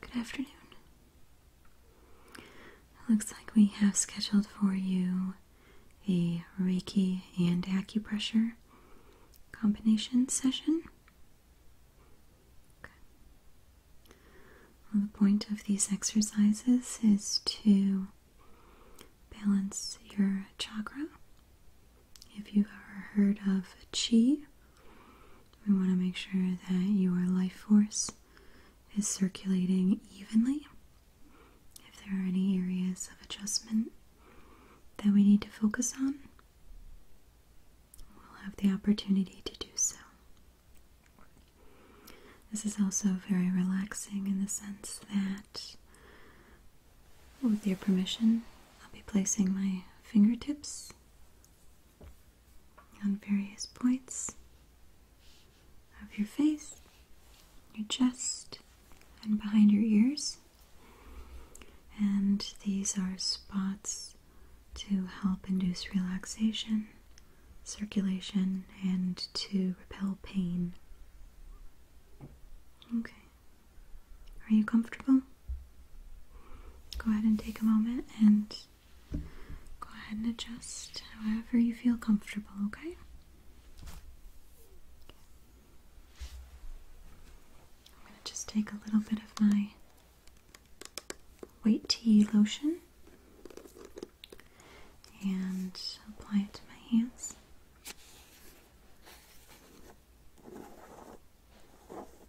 Good afternoon. looks like we have scheduled for you a Reiki and acupressure combination session. the point of these exercises is to balance your chakra. If you've ever heard of chi, we want to make sure that your life force is circulating evenly. If there are any areas of adjustment that we need to focus on, we'll have the opportunity to do so. This is also very relaxing in the sense that, with your permission, I'll be placing my fingertips on various points of your face, your chest, and behind your ears. And these are spots to help induce relaxation, circulation, and to repel pain. Okay. Are you comfortable? Go ahead and take a moment and go ahead and adjust however you feel comfortable, okay? I'm going to just take a little bit of my white tea lotion and apply it to my hands.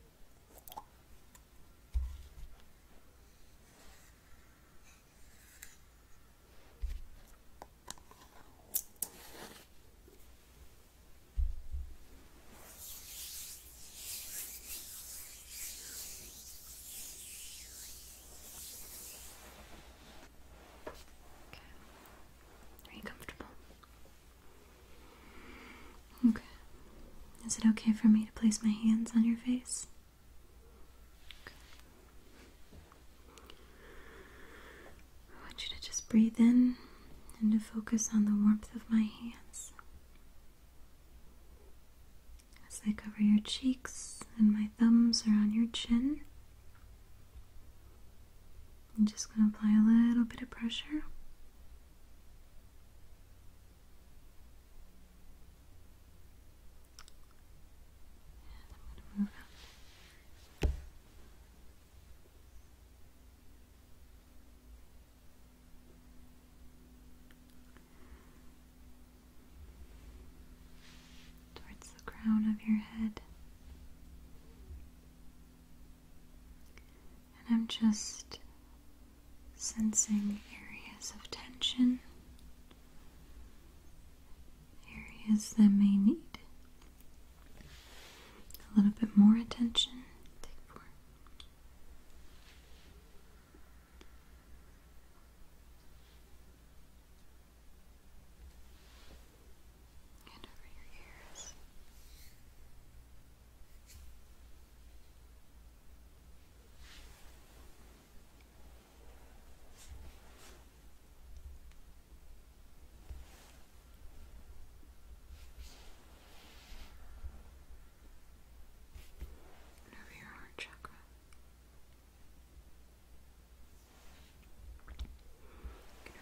Okay. Are you comfortable? Okay. Is it okay for me to place my hands on your face? I want you to just breathe in and to focus on the warmth of my hands as they cover your cheeks and my thumbs are on your chin. I'm just going to apply a little bit of pressure. Towards the crown of your head. And I'm just sensing areas of tension, areas that may need a little bit more attention and over your ears. over your heart chakra.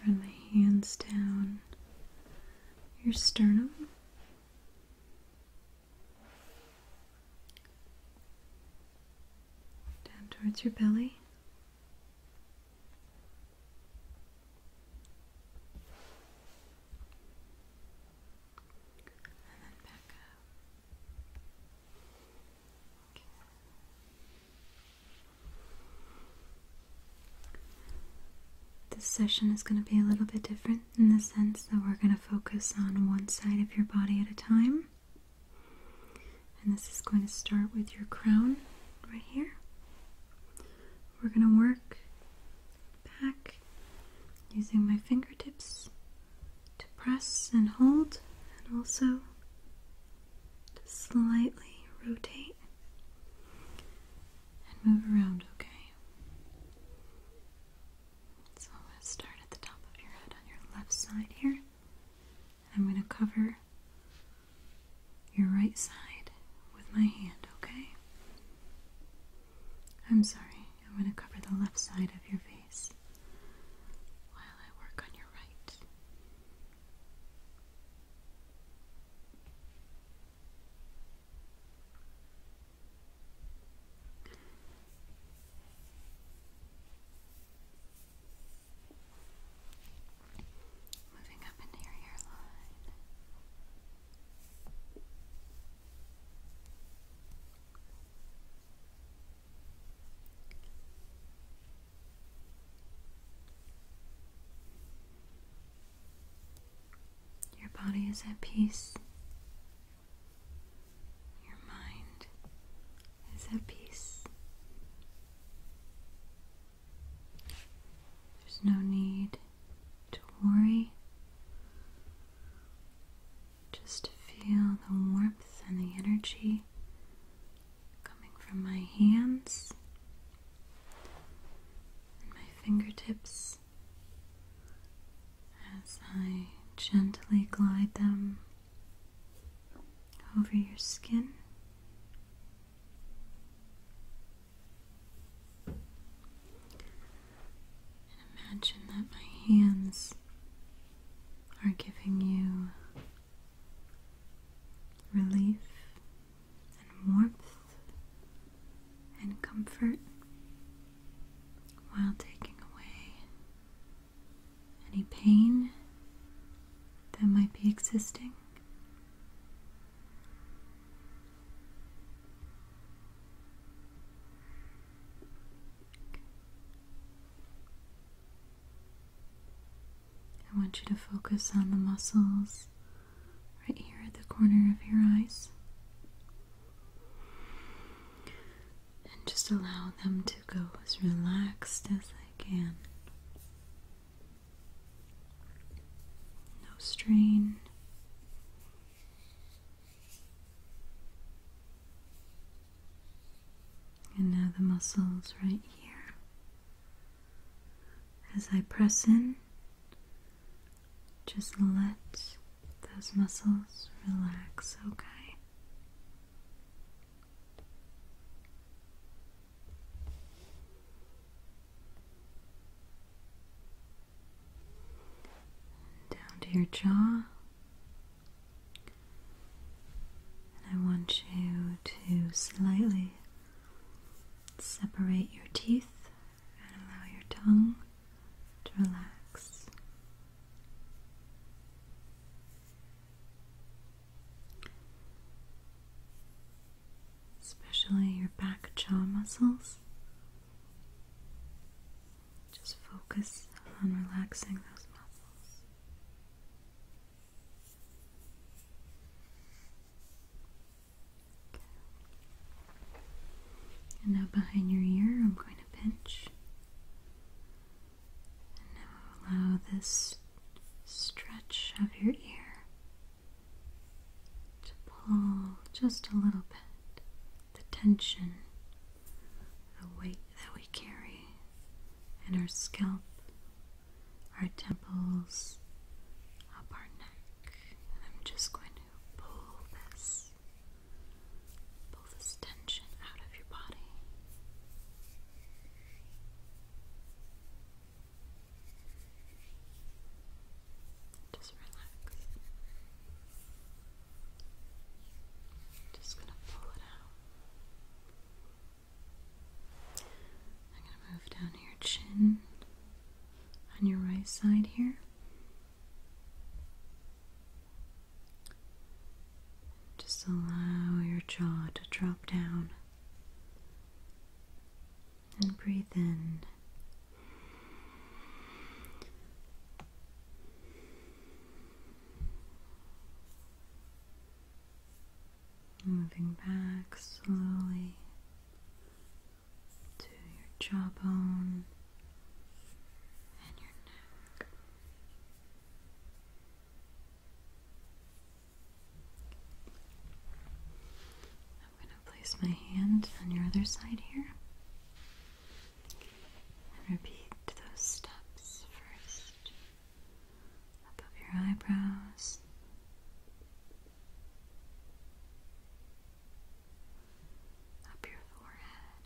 I'm run my hands down your sternum. Down towards your belly. And then back up. This session is going to be a little bit different in the sense that we're going to focus on one side of your body at a time. And this is going to start with your crown right here. We're going to work back using my fingertips to press and hold and also just slightly rotate and move around, okay? So I'm going to start at the top of your head on your left side here. I'm going to cover your right side with my hand, okay? I'm sorry, I'm going to cover the left side of your face while I work on your right. Moving up into your hairline. Your body is at peace. Your mind is at peace. There's no need to worry. Just feel the warmth and the energy coming from my hands and my fingertips as I gently glide them over your skin. And imagine that my hands are giving you relief and warmth and comfort while taking away any pain that might be existing. I want you to focus on the muscles right here at the corner of your eyes. And just allow them to go as relaxed as I can. No strain. And now the muscles right here as I press in, just let those muscles relax, okay? Down to your jaw. And I want you to slightly separate your teeth and allow your tongue to relax. Especially your back jaw muscles. Just focus on relaxing those muscles. And now behind your ear, I'm going to pinch. And now allow this stretch of your ear to pull just a little bit the tension, the weight that we carry in our scalp our temples up our neck. And I'm just going to pull this, pull this tension out of your body. Just relax. Just gonna pull it out. I'm going to move down your chin on your right side here. Just allow your jaw to drop down and breathe in. Moving back slowly to your jawbone and your neck. I'm going to place my hand on your other side here and repeat those steps first above your eyebrows. Up your forehead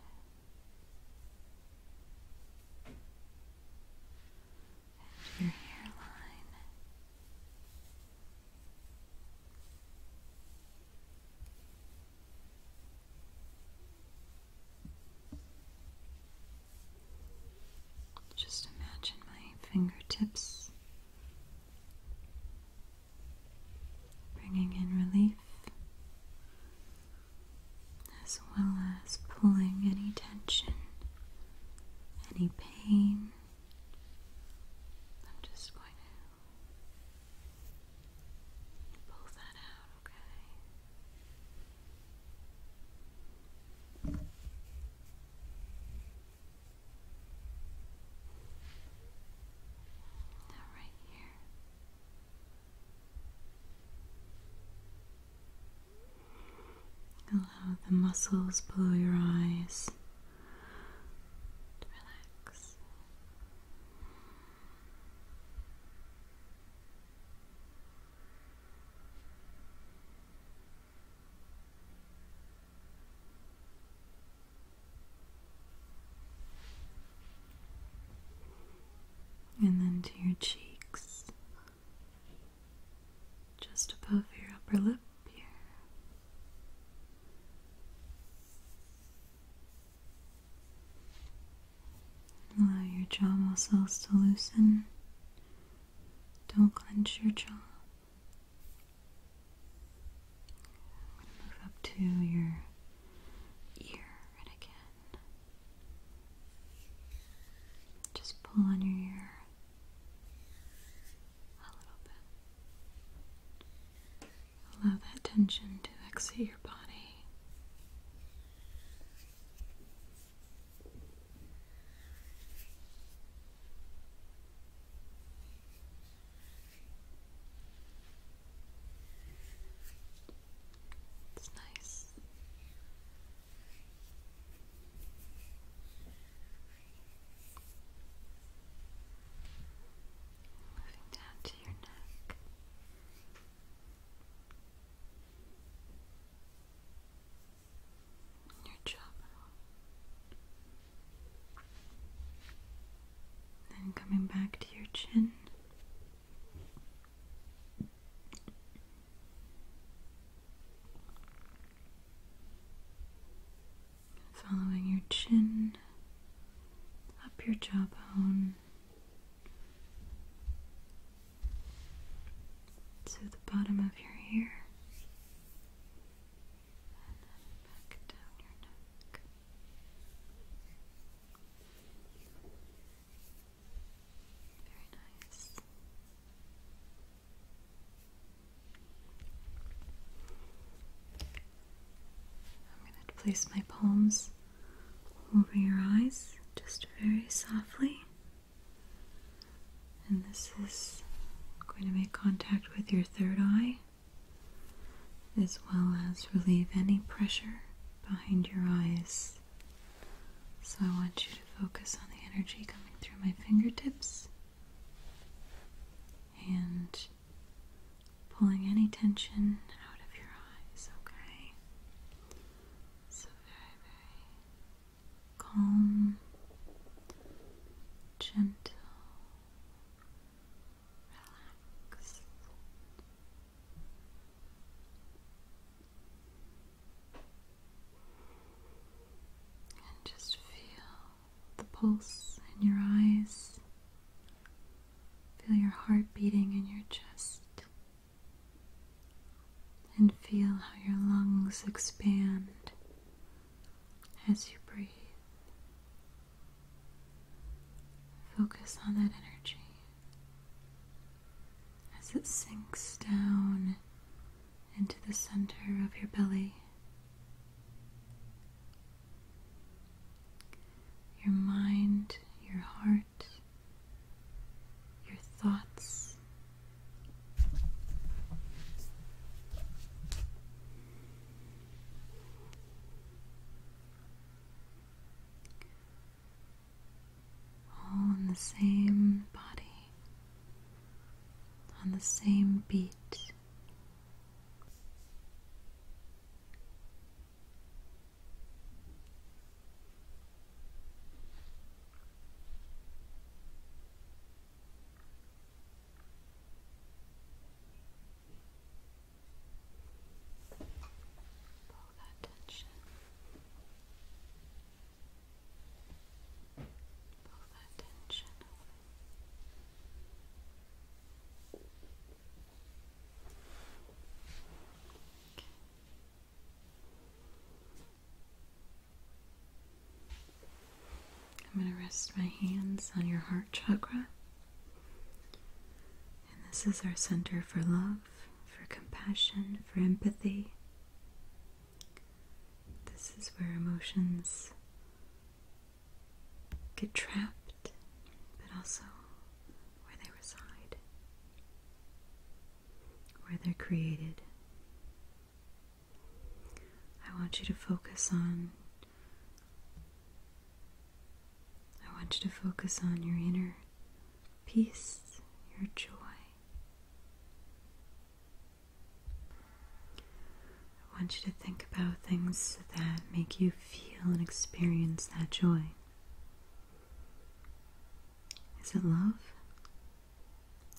your hairline. Just imagine my fingertips bringing in relief as well as pulling any tension, any pain. I'm just going to pull that out, okay? right here. Allow the muscles below your eyes to relax. And then to your cheeks, just above your upper lip here. Allow your jaw muscles to loosen. Don't clench your jaw. move up to your ear again. Just pull on your ear a little bit. Allow that tension to exit your body. It's nice. Moving down to your neck your jaw. Then coming back to your chin. Following your chin up your jawbone to the bottom of your ear and then back down your neck. Very nice. I'm going to place my palms over your eyes just very softly. And this is going to make contact with your third eye as well as relieve any pressure behind your eyes. So I want you to focus on the energy coming through my fingertips and pulling any tension out of your eyes, okay? So very, very calm, gentle, relaxed. And just feel the pulse in your eyes. Feel your heart beating in your chest and feel how your lungs expand as you breathe. Focus on that energy as it sinks down into the center of your belly. Your mind, your heart your thoughts. All in the same body, on the same beat. Pull that tension. Pull that tension. I'm going to rest my hands on your heart chakra. And this is our center for love, for compassion, for empathy. This is where emotions get trapped, but also where they reside, where they're created. I want you to focus on. I want you to focus on your inner peace, your joy. I want you to think about things that make you feel and experience that joy. Is it love?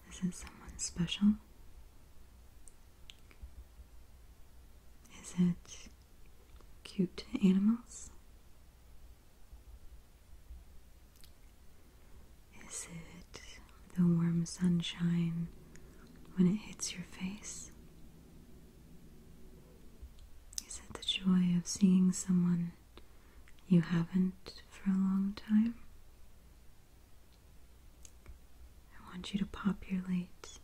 Is it someone special? Is it cute animals? Is it the warm sunshine when it hits your face? Is it the joy of seeing someone you haven't for a long time? I want you to populate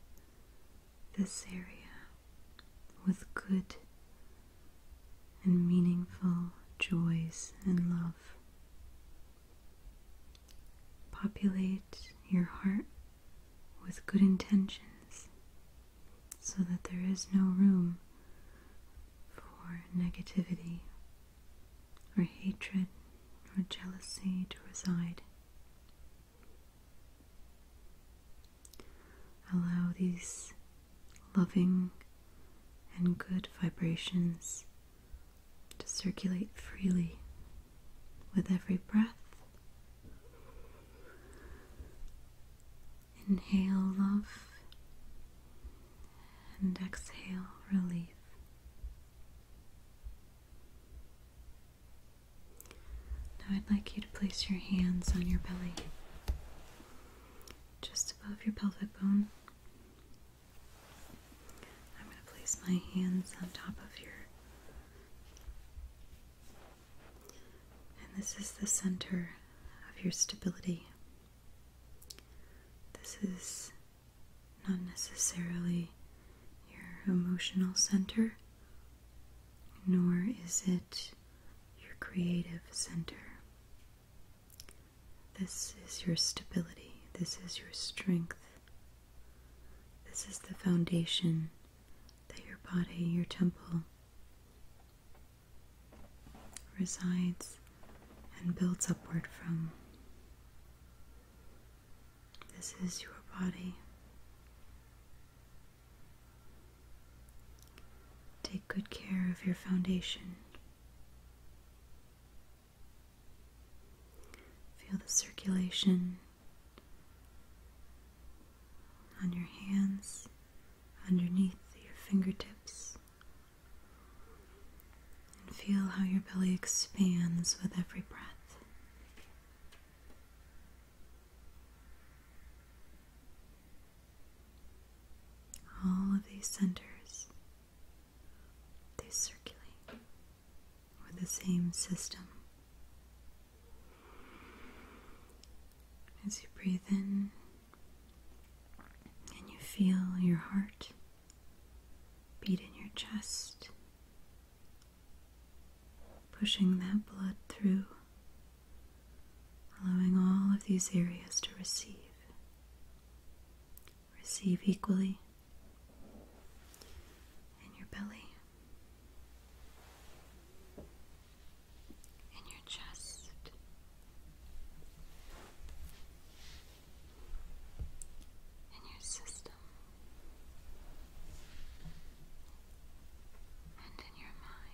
this area with good and meaningful joys and love. Populate your heart with good intentions so that there is no room for negativity or hatred or jealousy to reside. Allow these loving and good vibrations to circulate freely with every breath Inhale love and exhale relief. Now I'd like you to place your hands on your belly, just above your pelvic bone. I'm going to place my hands on top of your and this is the center of your stability. This is not necessarily your emotional center, nor is it your creative center. This is your stability. This is your strength. This is the foundation that your body, your temple, resides and builds upward from. This is your body. Take good care of your foundation. Feel the circulation on your hands, underneath your fingertips, and feel how your belly expands with every breath. All of these centers, they circulate with the same system. As you breathe in and you feel your heart beat in your chest, pushing that blood through, allowing all of these areas to receive. Receive equally in your belly in your chest. In your system and in your mind,